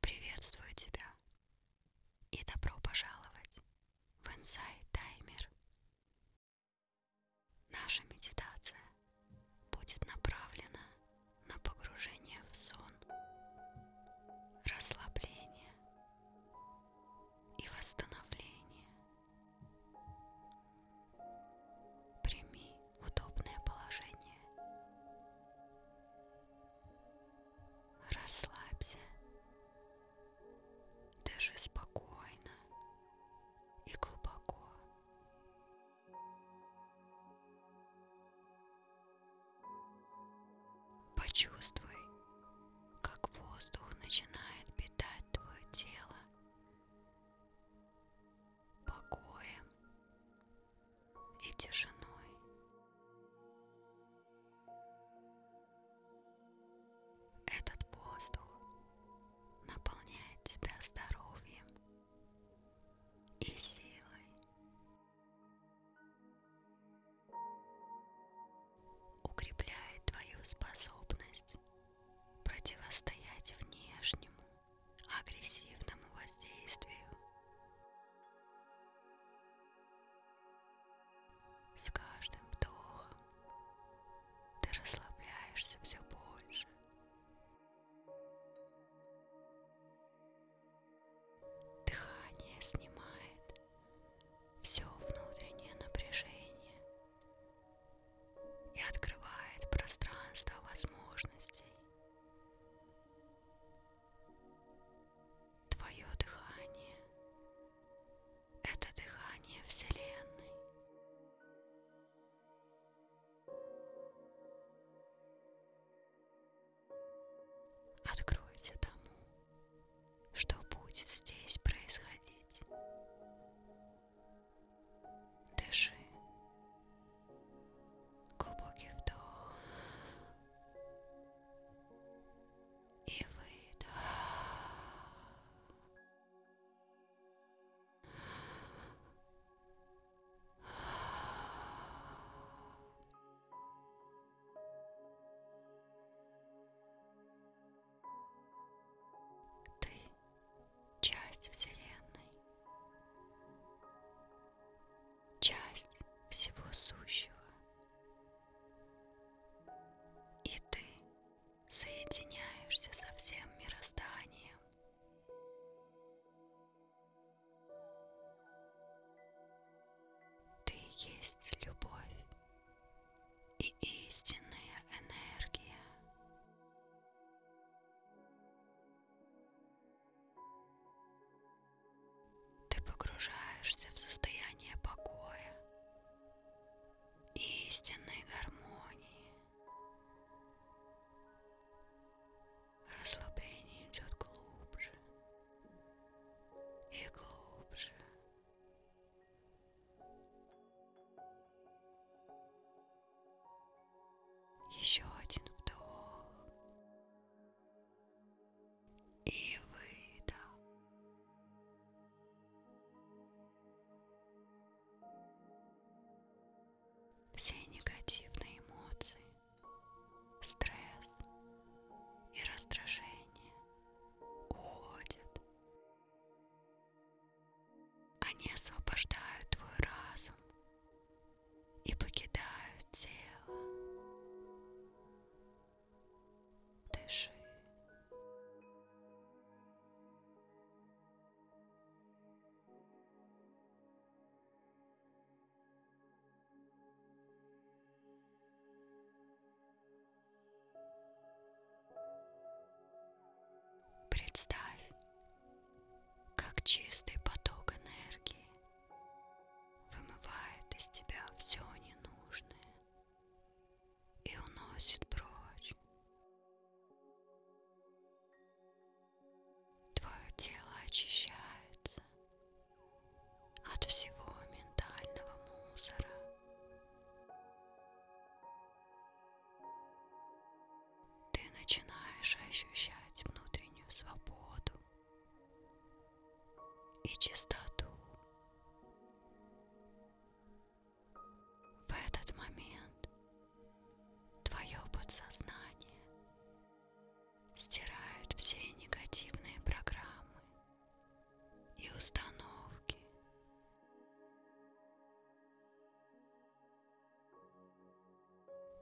Приветствую тебя и добро пожаловать в Inside Timer. Наша медитация будет направлена на погружение в сон, расслабление и восстановление. Прими удобное положение. Расслабься, дыши спокойно и глубоко. Почувствуй, как воздух начинает питать твое тело покоем и тишиной. Этот воздух наполняет тебя здоровьем и силой. Укрепляет твою способность противостоять внешнему агрессивному воздействию. С каждым вдохом ты расслабляешься все больше. Дыхание снимает все внутреннее напряжение и открывает пространство возможностей. Твое дыхание ⁇ это дыхание Вселенной. Откройте тому, что будет здесь происходить. Дыши. Глубокий вдох. И выдох. Ты часть Вселенной, часть всего сущего. И ты соединяешься со всем мирозданием. Ты есть любовь, и истинная энергия. Ты погружаешься в состояние покоя, истинной гармонии. Расслабление идет глубже и глубже еще один вдох. И выдох. Все негативные эмоции, стресс и раздражение уходят они освобождают твой разум и покидают тело. Дыши. Представь, как чистый поток энергии вымывает из тебя все ненужное и уносит прочь. Твое тело очищается от всего ментального мусора. Ты начинаешь ощущать внутреннюю свободу и чистоту. В этот момент твое подсознание стирает все негативные программы и установки.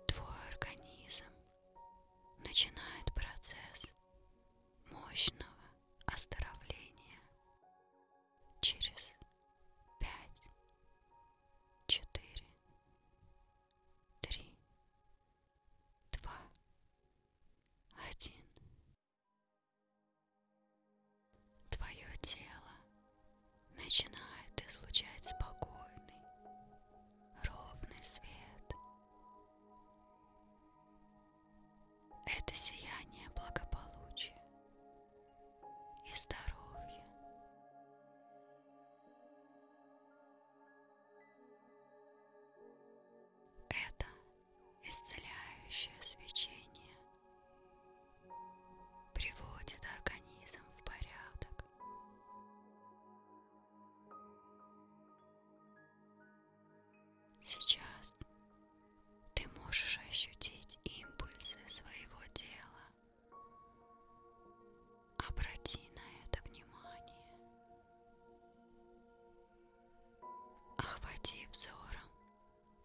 Твой организм начинает процесс мощного оздоровления через пять, четыре, три, два, один. Твое тело начинает излучать спокойный, ровный свет. Это сияние благополучия и здоровья. Это исцеляющее свечение приводит организм в порядок. Сейчас ты можешь ощутить импульсы своего тела Обрати на это внимание. Охвати взором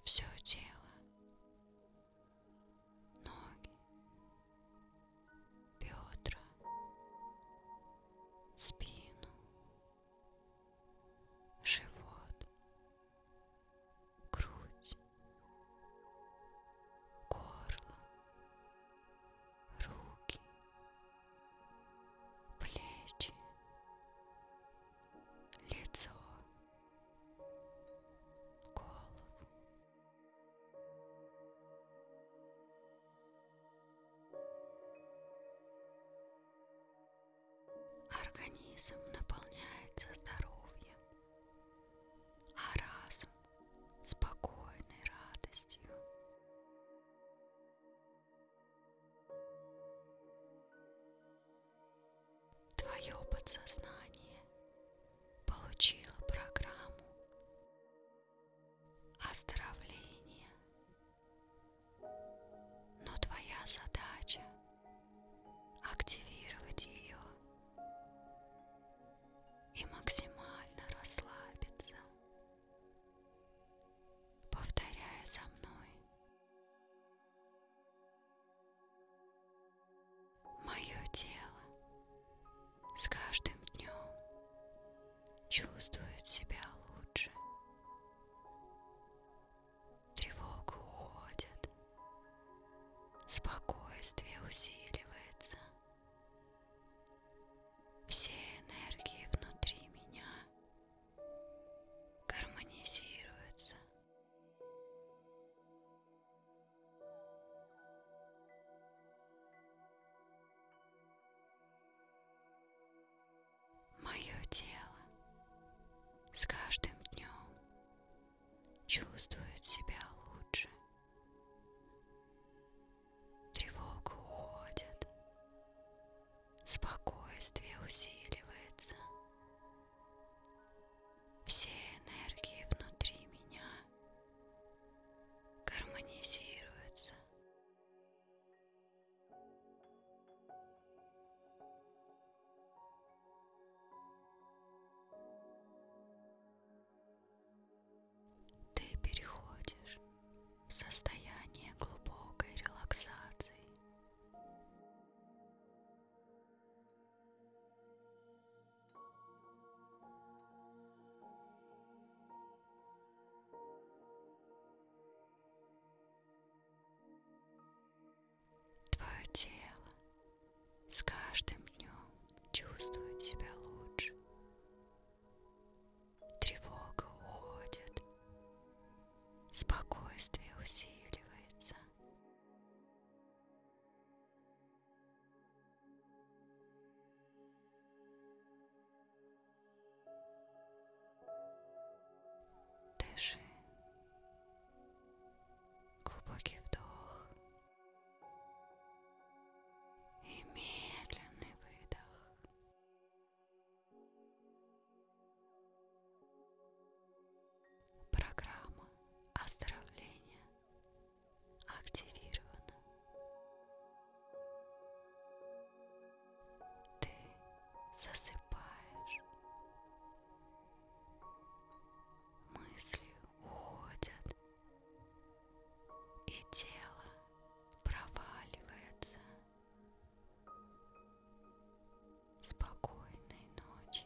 все тело. Ноги, бедра, спину, живот, грудь, горло, руки, плечи, лицо, голову. Организм наполняется здоровьем, а разум спокойной радостью. Твое подсознание получило программу оздоровления, но твоя задача активировать ее и максимально расслабиться. Повторяя за мной. Мое тело с каждым днем чувствует себя лучше. Тревога уходит, спокойствие усиливается. Все энергии внутри меня гармонизируются. Мое тело с каждым днем чувствует себя лучше. Тревога уходит, спокойствие усиливается. Все энергии внутри меня гармонизируются. Ты переходишь в состояние глубокой релаксации твое тело с каждым днем чувствует себя лучше. Тревога уходит, спокойствие усиливается. Дыши Глубокий вдох и медленный выдох. Программа оздоровления активирована. Ты засыпаешь Мысли уходят, и тело проваливается. Спокойной ночи.